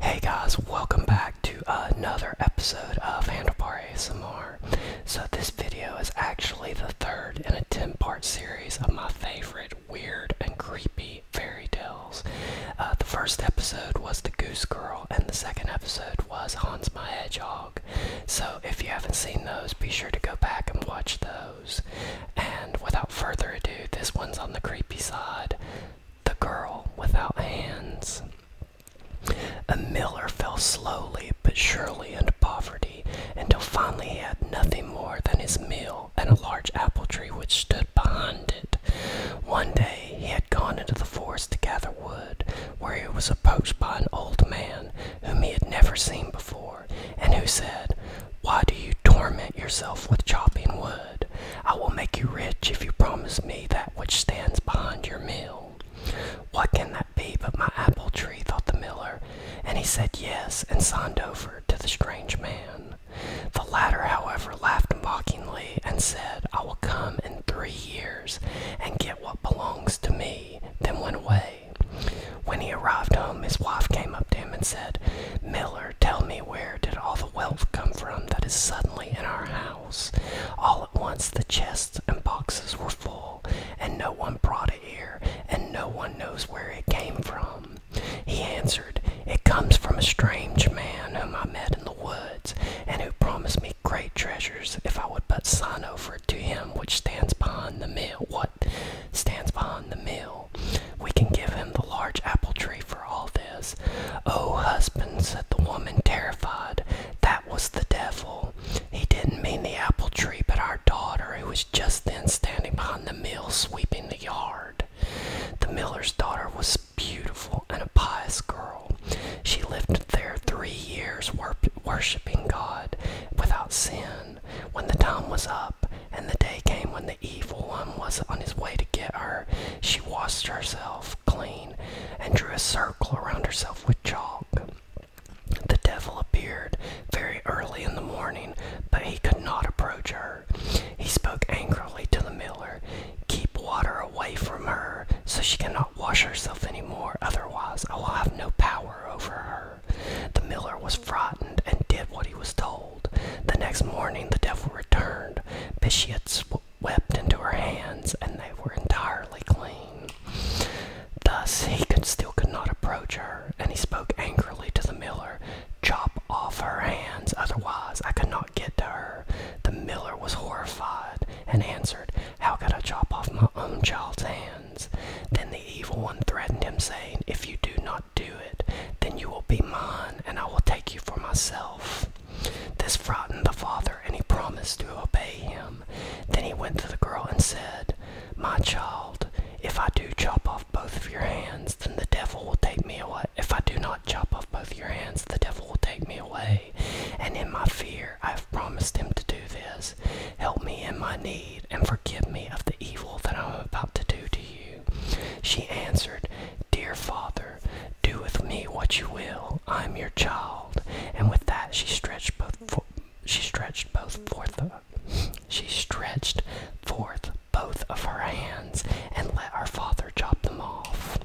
Hey guys, welcome back to another episode of Handlebar ASMR. So this video is actually the third in a 10-part series of my favorite weird and creepy fairy tales. Uh, the first episode was The Goose Girl, and the second episode was Hans My Hedgehog. So if you haven't seen those, be sure to go back and watch those. And without further ado, this one's on the creepy side The Girl Without Hands. A miller fell slowly but surely into poverty until finally he had nothing more than his mill and a large apple tree which stood behind it. One day he had gone into the forest to gather wood, where he was approached by an old man whom he had never seen before and who said, Why do you torment yourself with chopping wood? I will make you rich if you promise me that which stands behind your mill. What can that be but my apple tree? thought the miller, and he said yes and signed over to the strange man. The latter, however, laughed mockingly and said, I will come in three years and get what belongs to me, then went away. When he arrived home, his wife came up to him and said, Miller, tell me where did all the wealth come from that is suddenly in our house? All at once the chests and boxes were full, and no one brought it here, and no one knows where it came from. He answered, It comes from a strange man whom I met in the woods, and who promised me great treasures if I would but sign over to him which stands behind the mill stands behind the mill. We can give him the large apple tree for all this. Oh, husband, said the woman, terrified, that was the devil. He didn't mean the apple tree, but our daughter, who was just then standing behind the mill sweeping the yard. The miller's daughter was beautiful and a pious girl. She lived there three years, worshipping God without sin when the time was up, and the day came when the evil one was on his way to get her. She washed herself clean and drew a circle around herself with chalk. The devil appeared very early in the morning, but he could not approach her. He spoke angrily to the miller Keep water away from her, so she cannot wash herself any more, otherwise, I will have no power over her. The miller was frightened and did what he was told. The next morning the devil returned. Biscuits wept into her hands, and they were entirely clean. Thus he could still could not approach her, and he spoke angrily to the miller, Chop off her hands, otherwise I could not get to her. The miller was horrified, and answered, How could I chop off my own child's hands?" Then the evil one threatened him, saying, If you do not do it, then you will be mine, and I will take you for myself. This frightened the father, and he promised to obey him. Then he went to the girl and said, My child, if I do chop off both of your hands, then the devil will take me away. If I do not chop off both your hands, the devil will take me away. And in my fear, I have promised him to do this. Help me in my need, and forgive me of the evil that I am about to do to you. She answered, Dear Father, do with me what you will. I am your child. And with that, she stretched both. she stretched both forth. She stretched forth both of her hands and let her father chop them off.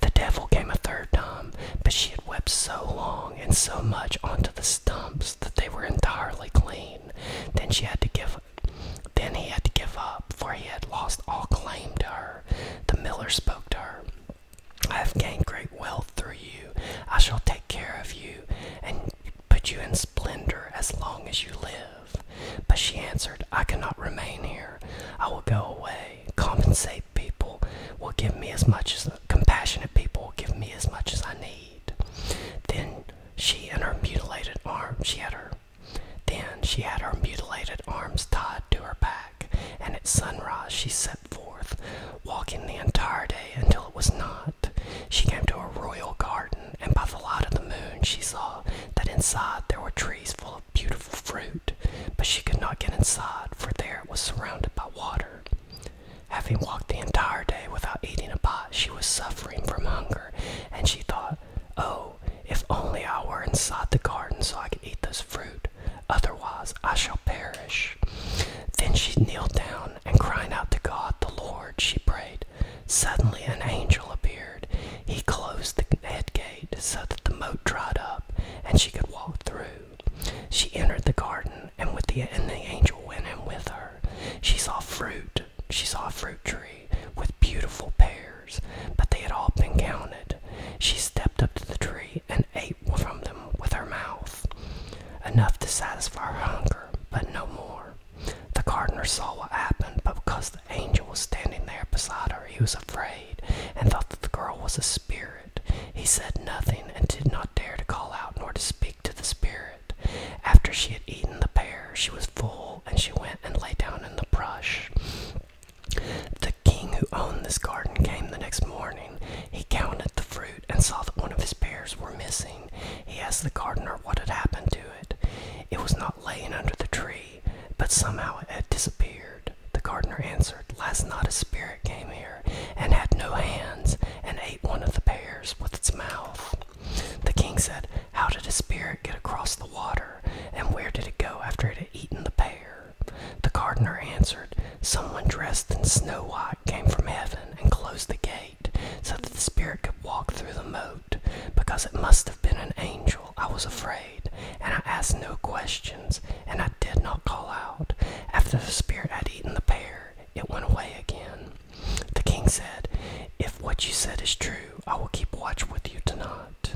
The devil came a third time, but she had wept so long and so much onto the stumps that they were entirely clean. Then she had to give then he had to give up, for he had lost all claim to her. The miller spoke to her. I have gained great wealth through you. I shall take care of you and put you in splendor as long as you live. But she answered, I cannot remain here. I will go away. Compensate people will give me as much as compassionate people will give me as much as I need. Then she and her mutilated arm she had her then she had her mutilated arms tied to her back, and at sunrise she set forth, walking the entire day until it was night. She came to a royal garden, and by the light of the moon she saw that inside there were trees full of beautiful fruit, but she could not get inside, for there it was surrounded by water. Having walked the entire day without eating a bite, she was suffering from hunger, and she thought, Oh, if only I were inside the garden so I could eat this fruit, otherwise I shall perish. Then she kneeled down, and crying out to God the Lord, she prayed. Suddenly an angel appeared. He closed the head gate so that the moat dried up and she could walk through. She entered the garden, and with the and the angel went in with her. She saw fruit. She saw a fruit tree with beautiful pears, but they had all been counted. She stepped up to the tree and ate from them with her mouth, enough to satisfy her hunger, but no more. The gardener saw what happened, but because the angel was standing there beside her, he was afraid and thought that the girl was a spirit. He said nothing and did not dare to call out nor to speak to the spirit. After she had eaten the pear, she was full, and she went and lay down in the brush. The king who owned this garden came the next morning. He counted the fruit and saw that one of his pears was missing. He asked the gardener what had happened to it. It was not lying under the tree, but somehow it had disappeared the gardener answered, Last night a spirit came here and had no hands and ate one of the pears with its mouth. The king said, How did a spirit get across the water, and where did it go after it had eaten the pear? The gardener answered, Someone dressed in snow white came from heaven and closed the gate so that the spirit could walk through the moat. Because it must have been an angel, I was afraid and I asked no questions, and I did not call out. After the spirit had eaten the pear, it went away again. The king said, If what you said is true, I will keep watch with you tonight.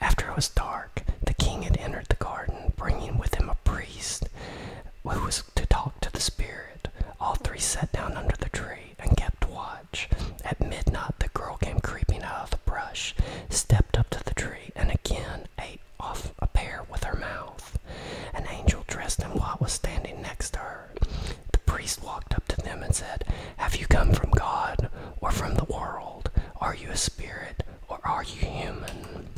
After it was dark, the king had entered the garden, bringing with him a priest who was to talk to the spirit. All three sat down under the tree and kept watch. At midnight, the girl came creeping out of the brush, stepped up to the tree and again ate off a pear with her mouth. An angel dressed in white was standing next to her. The priest walked up to them and said, Have you come from God or from the world? Are you a spirit or are you human?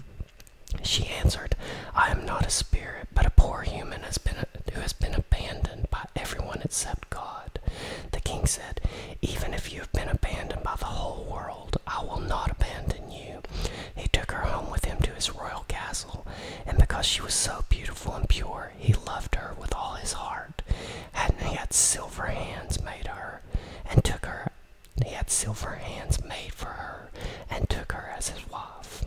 She answered, I am not a spirit, but a poor human has been, who has been abandoned by everyone except God. The king said, Even if you have been abandoned by the whole world, I will not abandon you. He took her home with him to his royal castle, and because she was so beautiful and pure, he loved her with all his heart. And he had silver hands made her, and took her. He had silver hands made for her, and took her as his wife.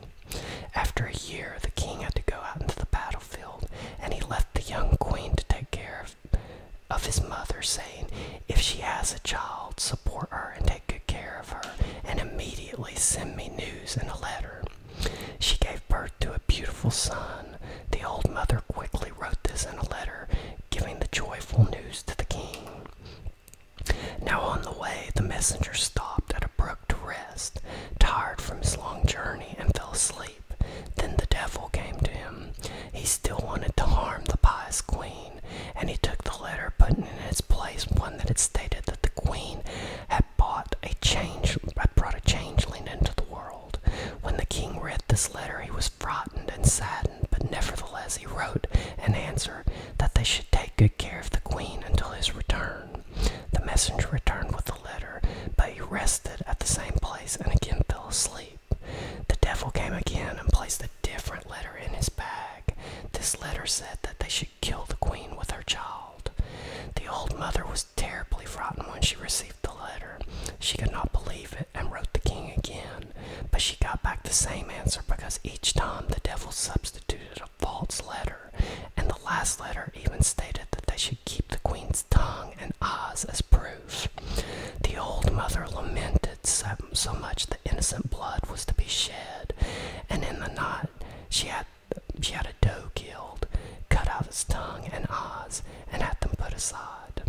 After a year, the king had to go out into the battlefield, and he left the young queen to take care of of his mother, saying, If she has a child, support her and take good care of her, and immediately send me news in a letter. She gave birth to a beautiful son. The old mother quickly wrote this in a letter, giving the joyful news to the king. Now on the way, the messenger stopped at a brook to rest, tired from his long journey, and fell asleep. Then the devil came to him. He still wanted to harm the pious queen, and he took the letter, putting in its place one that had stated that the queen had bought a change, had brought a changeling into the world. When the king read this letter, he was frightened and saddened, but nevertheless he wrote an answer that they should take good care of the queen until his return. The messenger returned with the letter, but he rested at the same place and again fell asleep. The devil came again and placed a different letter in his bag. This letter said that they should kill the queen with her child. The old mother was terribly frightened when she received the letter. She could not believe it and wrote the king again, but she got back the same answer because each time the devil substituted a false letter, and the last letter even stated that they should keep the queen's tongue and eyes as proof. The old mother lamented so, much the innocent blood was to be shed, and in the night she had she had a doe killed, cut out his tongue and eyes, and had them put aside.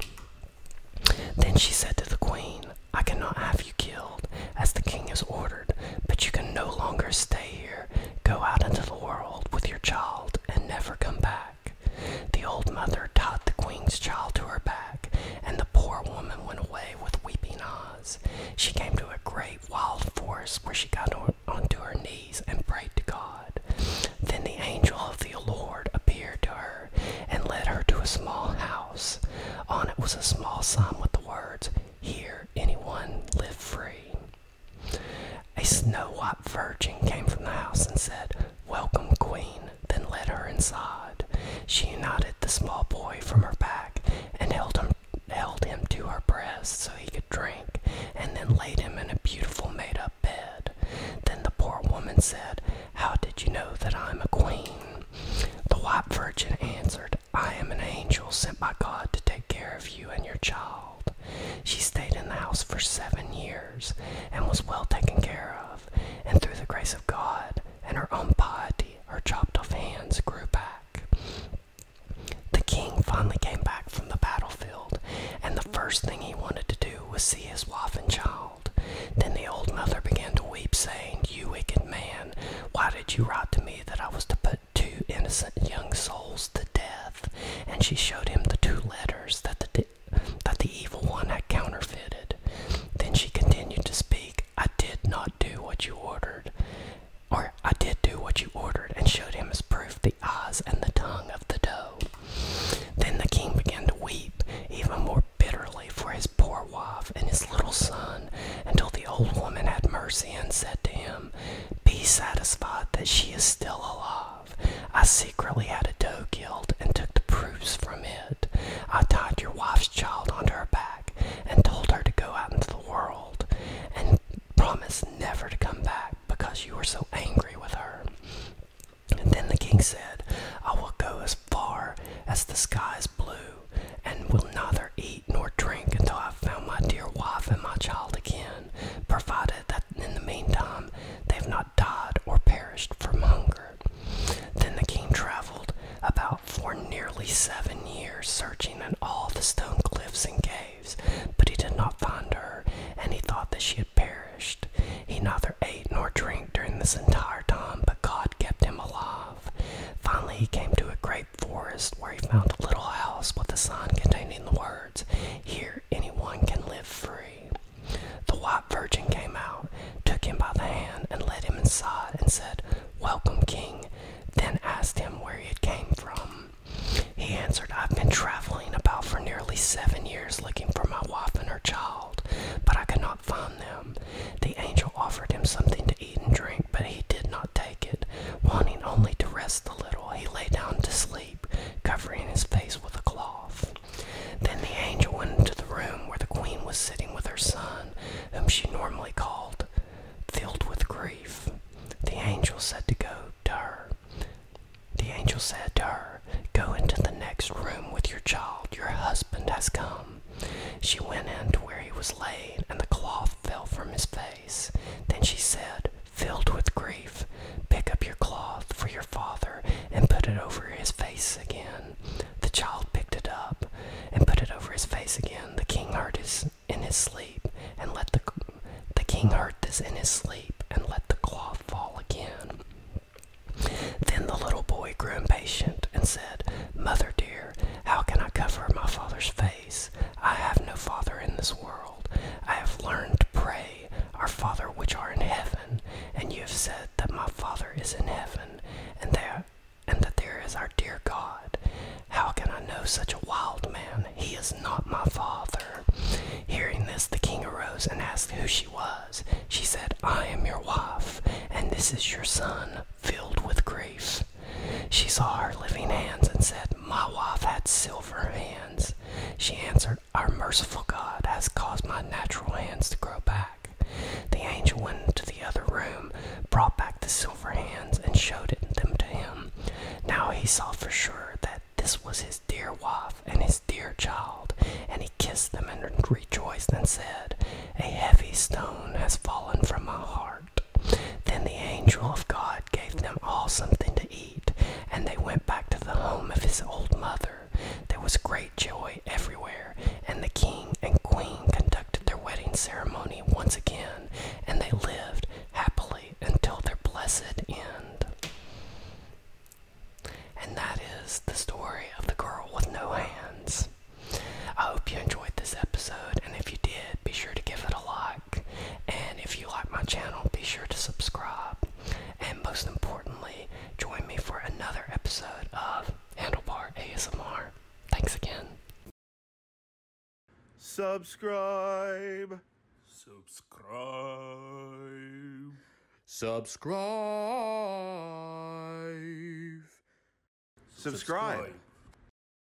Then she said to the queen, I cannot have you killed, as the king has ordered, but you can no longer stay here. Go out into the world with your child and never come back. The old mother tied the queen's child to her back, and the poor woman went away with weeping eyes. She came to a great wild forest where she got on, to her knees and prayed to God. Then the angel of the Lord appeared to her and led her to a small house. On it was a small sign with the words, Here anyone live free. A snow white virgin came from the house and said, Welcome, Queen, then led her inside. She united the small boy from her back and held him, held him to her breast so he could drink, and then laid him in a beautiful made up bed. Then the poor woman said, How did you know that I am a queen? The white virgin answered, I am an angel sent by God to take care of you and your child. She stayed in the house for seven years and was well taken care of, and through the grace of God and her own piety, her chopped off hands grew back. The king finally came back from the battlefield, and the first thing he wanted to do was see his wife and child. Then the old mother began to weep, saying, You wicked man, why did you write to me that I was to put two innocent young souls to death? and she showed him the two letters that the that the evil one had counterfeited. Then she continued to speak. I did not do what you ordered, or I did do what you ordered, and showed him as proof the eyes and the tongue of the doe. Then the king began to weep even more bitterly for his poor wife and his little son, until the old woman had mercy and said to him, Be satisfied that she is still alive. I secretly had a doe killed and took the proofs from it. I tied your wife's child onto her back and told her to go out into the world and promised never to come back because you were so angry with her. And then the king said, I will go as far as the sky is blue and will neither eat nor drink until I have found my dear wife and my child again provided that in the meantime they have not died or perished from hunger. Then the king traveled about for nearly seven years, searching in all the stone cliffs and caves, but he did not find her, and he thought that she had perished. He neither ate nor drank during this entire time, but God kept him alive. Finally, he came to a great forest where he found a little house with a sign containing the word birds. Here anyone can live free. The white virgin came out, took him by the hand, and led him inside, and said, Welcome, King. Then asked him where he had came from. He answered, I've been traveling about for nearly seven years looking for my wife and her child, but I could not find them. The angel offered him something to eat and drink, but he did not take it. Wanting only to rest a little, he lay down to sleep covering his face with a cloth. Then the angel went into the room where the queen was sitting with her son, whom she normally called. Filled with grief, the angel said to go to her. The angel said to her, Go into the next room with your child. Your husband has come. She went in to where he was laid, and the cloth fell from his face. Then she said, filled with grief, pick up your cloth for your father and put it over his face again. The child picked it up and put it over his face again. The king heard his in his sleep and let the the king heard this in his sleep and let the cloth fall again. Then the little boy grew impatient and said, Mother dear, how can I cover my father's face? I have no father in this world. I have learned to pray, Our Father which are in heaven, and you have said that my Father is in heaven, and there and that there is our dear God. How can I know such a wild man? He is not my father. Hearing this, the king arose and asked who she was. She said, I am your wife, and this is your son, filled with grace." She saw her living hands and said, My wife had silver hands. She answered, Our merciful God has caused my natural hands to grow back. The angel went into the other room, brought back the silver hands, and showed them to him. Now he saw for sure that this was his dear wife and his dear child, and he kissed them and rejoiced and said, A heavy stone has fallen from my heart. Then the angel of God gave them all something to eat, and they went back to the home of his old mother. There was great joy everywhere, and the king and queen conducted their wedding ceremony once again, and they lived happily until their blessed end. And that is the story of the girl with no hands. I hope you enjoyed this episode, and if you did, be sure to give it a like. And if you like my channel, be sure to subscribe. And most importantly, join me for another episode of Handlebar ASMR. Thanks again. Subscribe. Subscribe. Subscribe. Subscribe.